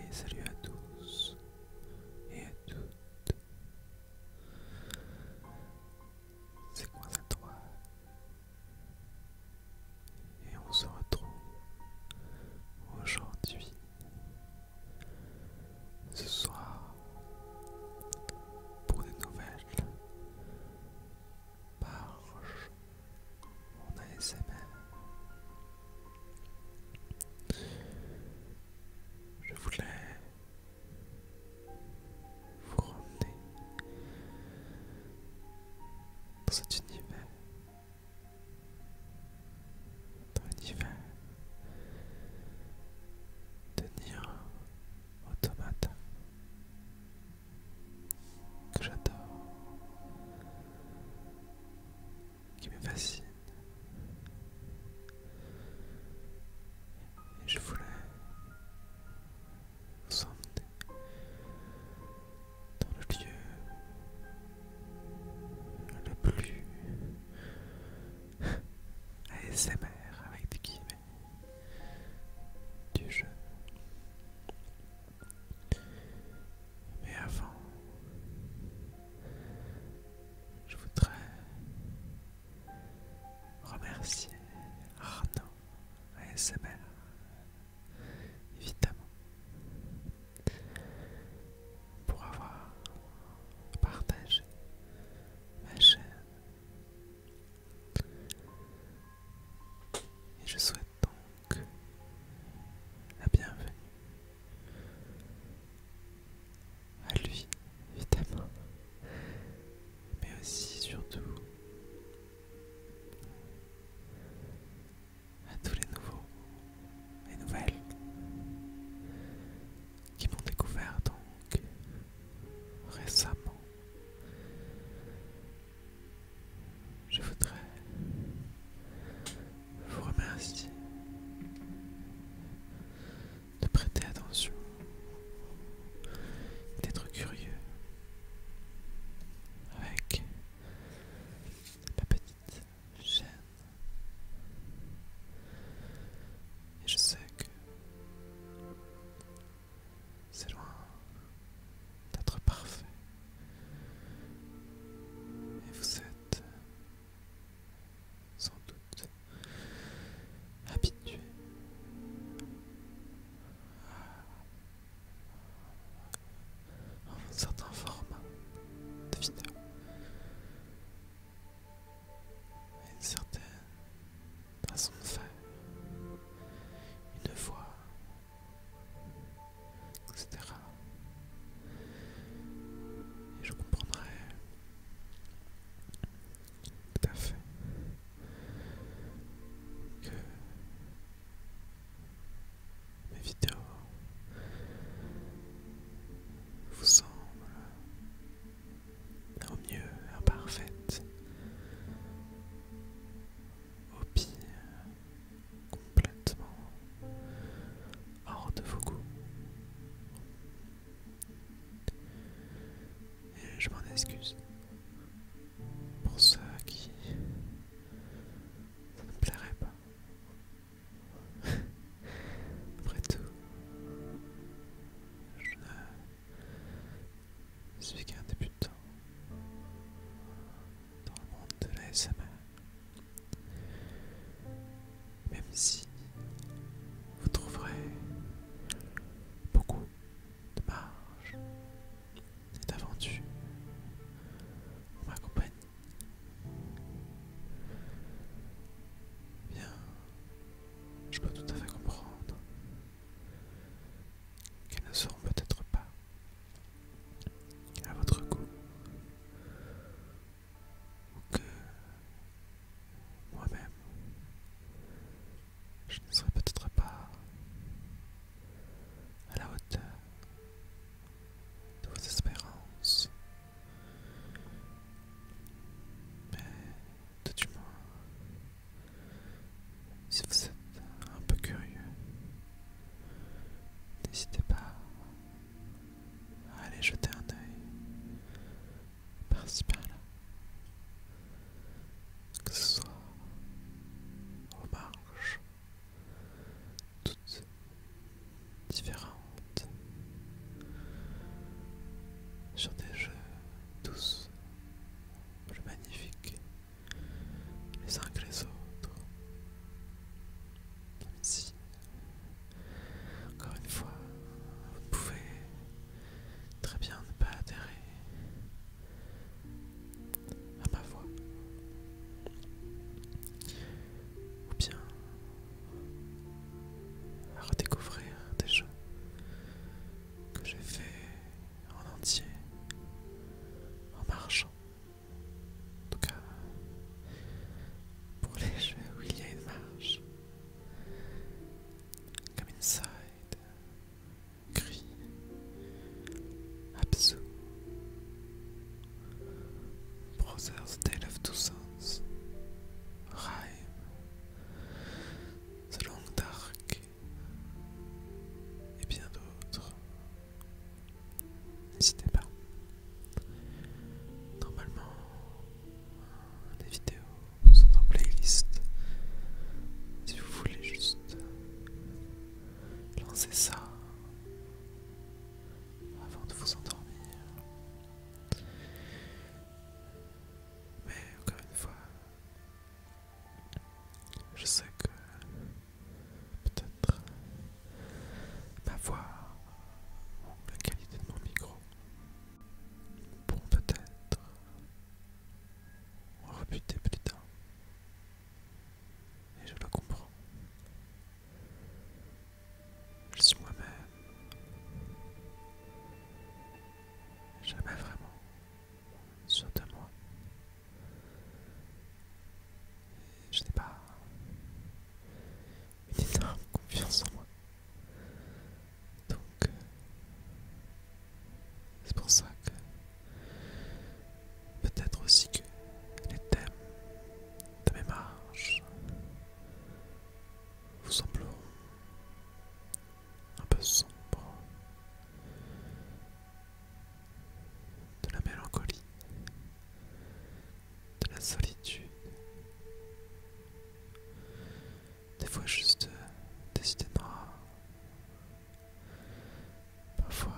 Et salut à tous et à toutes. C'est quoi ça toi Et on se retrouve aujourd'hui, ce soir, pour des nouvelles par mon ASMR. Je voulais vous ramener dans cet univers, dans l'univers de Nier Automata que j'adore, qui me fascine. Et je voulais vous emmener dans le lieu le plus ASMR avec des guillemets du jeu. Mais avant, je voudrais remercier Arnaud ASMR, évidemment, pour avoir partagé ma chaîne et je souhaite donc la bienvenue à lui, évidemment, mais aussi surtout à tous les nouveaux et nouvelles qui m'ont découvert donc récemment je voudrais vous remercier de prêter attention, d'être curieux avec ma petite chaîne. Et je sais que c'est loin d'être parfait. Et vous êtes sans doute habitué à un certain format de vidéo. Une certaine façon de faire, une voix, etc. Et je comprendrai tout à fait que mes vidéos vous semblent au mieux imparfaites au pire, complètement hors de vos goûts. Et je m'en excuse pour ceux qui ne plairait pas. Après tout, je celui qui est un débutant dans le monde de la Même si vous trouverez beaucoup de marge et d'aventures pour ma compagnie, bien, je peux tout à fait comprendre qui ne seront peut-être pas à votre goût, ou que moi-même, je ne serai peut-être pas à la hauteur de vos espérances. Mais tout du moins si vous êtes un peu curieux n'hésitez pas à aller jeter un œil principal, que ce soit aux marges toutes différentes sur des jeux tous plus magnifiques les uns que les autres. si, encore une fois, vous pouvez très bien ne pas adhérer à ma voix. Ou bien à redécouvrir des choses que j'ai fait en entier en marchant. En tout cas, pour les jeux où il y a une marche, comme Inside, Gris, Absu, Brothers Tale of Two Sons, Rhyme, The Long Dark, et bien d'autres. N'hésitez pas. Normalement, les vidéos sont en playlist. Si vous voulez juste lancer ça avant de vous endormir. Mais encore une fois, je sais que peut-être ma voix ou la qualité de mon micro Bon, peut-être rebuter plus tard. Et je le comprends. Je suis moi-même. Jamais vraiment sur moi. Je n'ai pas une énorme confiance en moi. Donc, euh, c'est pour ça que peut-être aussi que les thèmes de mes marches vous sembleront un peu sombre, de la mélancolie, de la solitude. Des fois juste euh, idées de Parfois,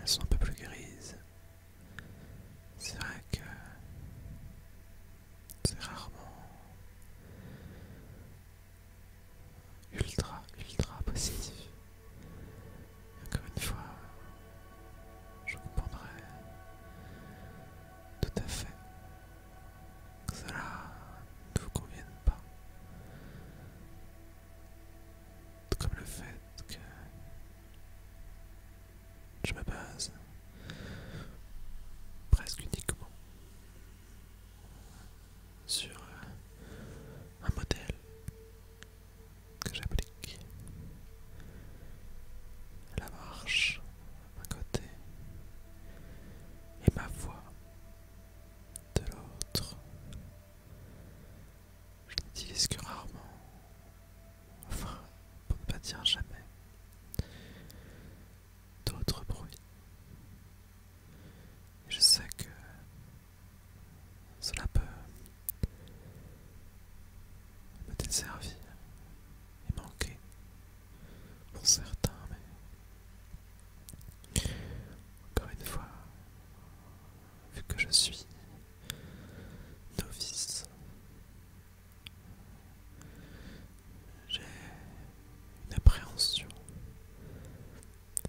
elles sont un peu plus grises. C'est vrai que c'est rarement ultra, ultra positif. encore une fois, je comprendrais tout à fait que cela ne vous convienne pas. comme le fait que je me base presque uniquement sur euh, un modèle que j'applique. La marche d'un côté et ma voix de l'autre. Je n'utilise que rarement, enfin pour ne pas dire jamais, d'autres bruits je sais que cela peut me desservir et manquer pour certains, mais encore une fois, vu que je suis novice, j'ai une appréhension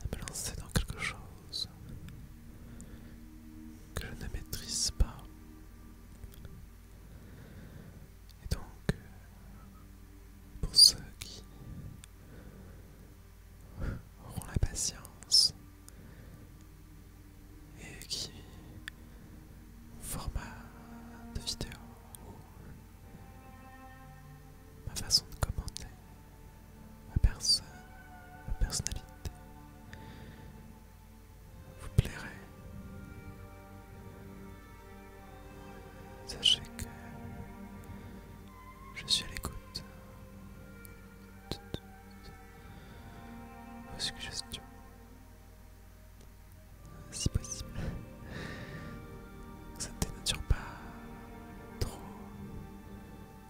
de me lancer dans quelque chose que je ne maîtrise pas. Et donc, euh, pour ceux qui auront la patience et qui format de vidéo ma façon de commenter ma personne, ma personnalité vous plairait. Sachez que je suis à l'écoute de vos suggestions. Si possible, ça ne dénature pas trop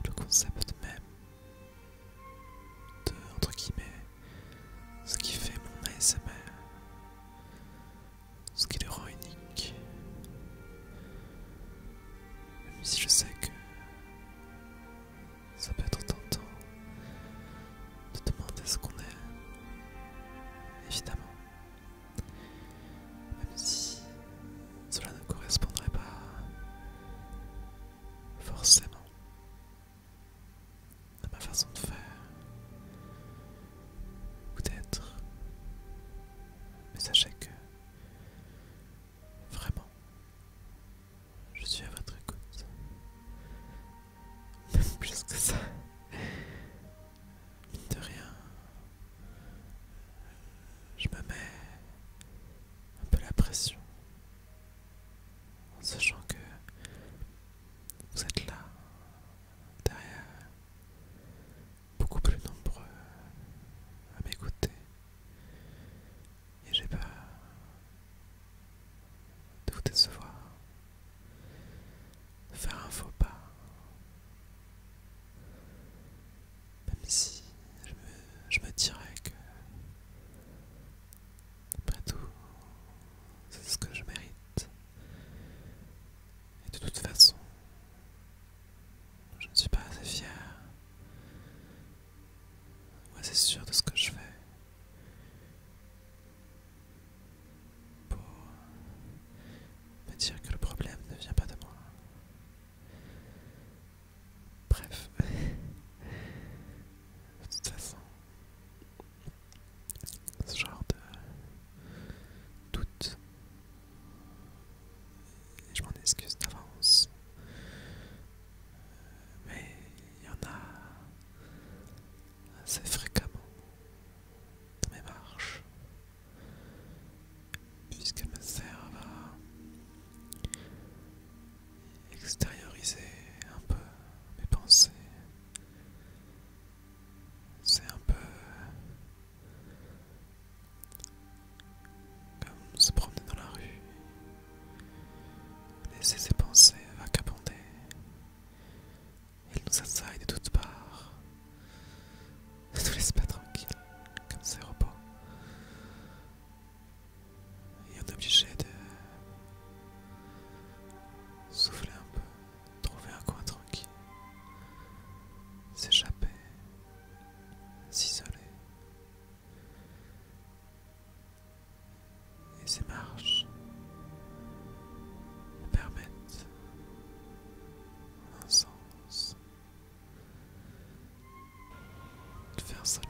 le concept même de entre guillemets ce qui fait mon ASMR, ce qui le rend unique. Même si je sais que ça peut être tentant de demander ce qu'on est, évidemment. Même si cela ne correspondrait pas forcément à ma façon de faire ou être Mais sachez que vraiment, je suis à votre écoute. Même plus que ça mine de rien, je me mets un peu la pression en sachant que vous êtes là, derrière, beaucoup plus nombreux à m'écouter. Et j'ai peur de vous décevoir, de faire un faux pas, même si je me, dirais que, après tout, c'est ce que je mérite. Et de toute façon, je ne suis pas assez fier moi assez sûr de ce que je fais pour me dire que le problème ne vient pas de moi. Bref. De toute façon, ce genre de doute, je m'en excuse d'avance, mais il y en a assez fréquemment dans mes marches puisqu'elle me servent à extérioriser un peu mes pensées. C'est un peu comme se promener dans la rue, laisser ses pensées vagabonder. Elles nous assaillent de toutes parts. Ne nous laisse pas tranquille comme ces repos. Et on est obligé de souffler un peu, trouver un coin tranquille, s'échapper, s'isoler. Et ces marches permettent, un sens, de faire cela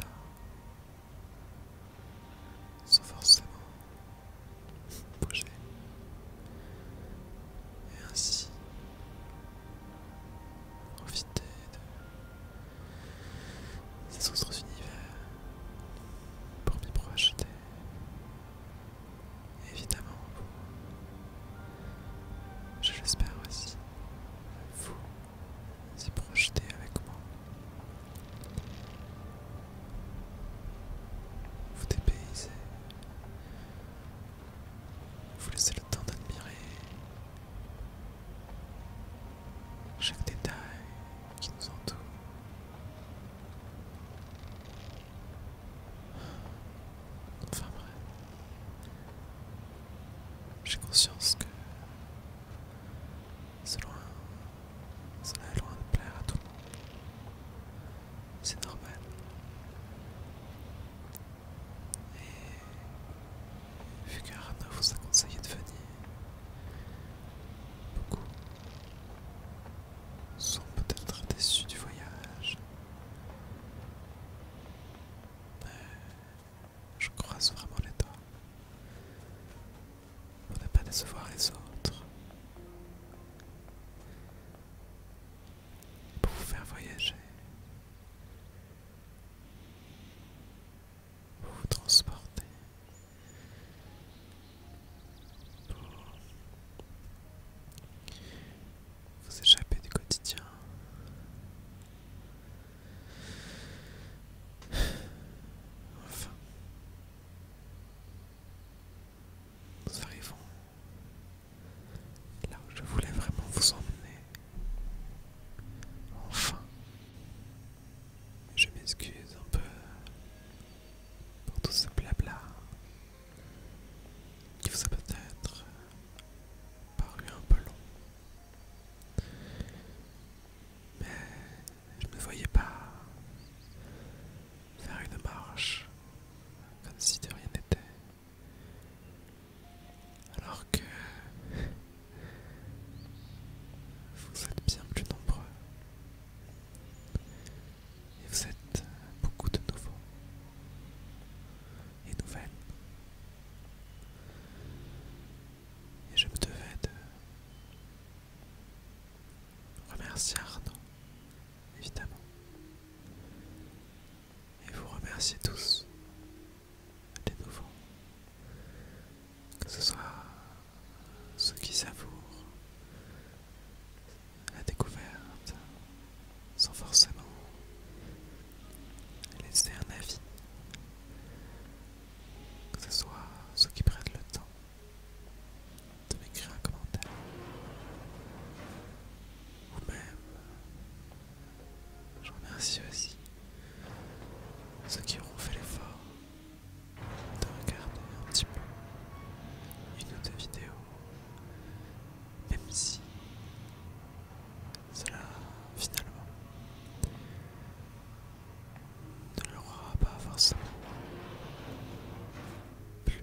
sans forcément bouger et ainsi profiter de ces autres univers pour m'y projeter évidemment pour je l'espère aussi. Vous y projetez avec moi. Vous dépaysez. Vous laissez le temps d'admirer chaque détail qui nous entoure. Enfin bref, j'ai conscience que c'est loin, cela loin de plaire à tout le monde. C'est normal. Et vu vous a conseillé de venir, beaucoup sont peut-être déçus du voyage. Euh, je croise vraiment les doigts pour ne pas décevoir les autres. Pour vous faire voyager. Pour vous transporter vous échapper du quotidien. Enfin, nous arrivons là où je voulais vraiment vous emmener. Enfin, je m'excuse un peu pour tout ce blabla qui vous a peut-être paru un peu long. Mais je ne voyais pas faire une marche comme si de rien n'était. Alors que vous êtes bien plus nombreux. Et vous êtes beaucoup de nouveaux et nouvelles. Et je me devais de remercier Arnaud, évidemment. Et vous remercier tous de nouveau. Que ce soit ceux qui savourent la découverte, sans forcément laisser un avis, que ce soit ceux qui prennent le temps de m'écrire un commentaire, ou même je remercie aussi ceux qui auront fait l'effort de regarder un petit peu une autre vidéo même si cela, finalement, ne le pas forcément plus.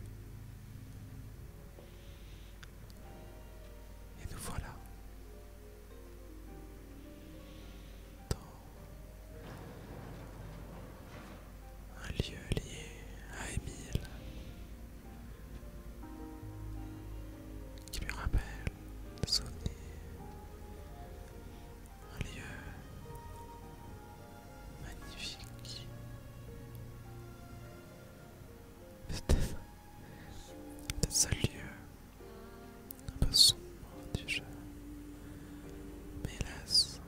Et nous voilà dans un lieu lié à Émile qui lui rappelle de souvenir un lieu magnifique. C'était le seul lieu un peu sombre du jeu, mais hélas,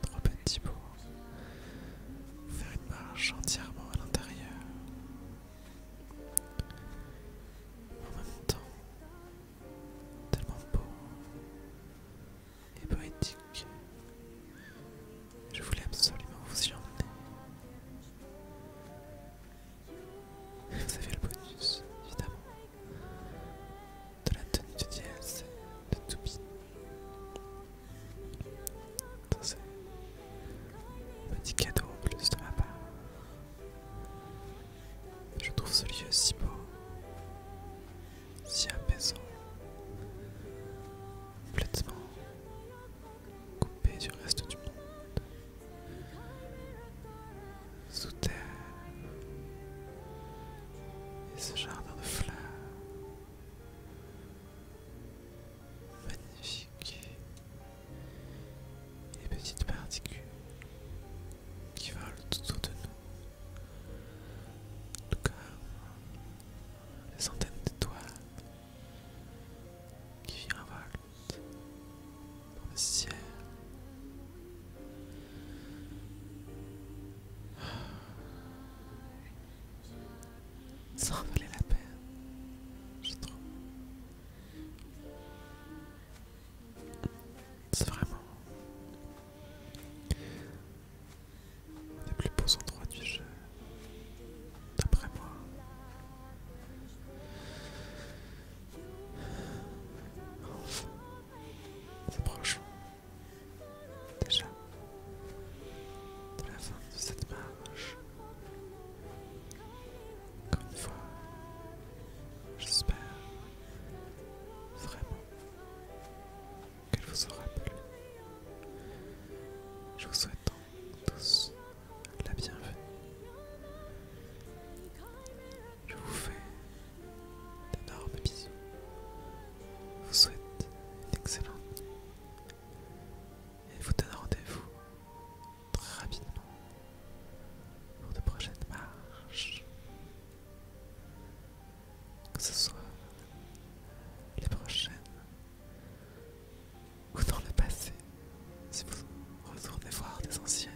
trop petit pour faire une marche entièrement à l'intérieur. En même temps, tellement beau et poétique. Je voulais absolument vous y emmener. Vous avez le bonus, évidemment, de la tenue de dièse, de Toupie un petit cadeau en plus de ma part. Je trouve ce lieu si beau, si apaisant, complètement coupé du reste du monde. Sous terre, et ce jardin de fleurs, magnifique les petites particules qui volent autour de nous, comme les centaines d'étoiles qui virevoltent dans le ciel. Ça en valait la peine, je trouve. C'est vraiment les des plus beaux endroits du jeu, d'après moi. Enfin, c'est proche déjà la fin de cette marche. Encore une fois, j'espère vraiment qu'elle vous aura plu. Je vous souhaite tous la bienvenue. Je vous fais d'énormes bisous. Je vous souhaite une excellente nuit et vous donne rendez-vous très rapidement pour de prochaines marches. Que ce soit les prochaines ou dans le passé, si vous retournez voir des anciennes.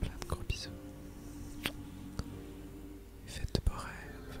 Plein de gros bisous. Faites de beaux rêves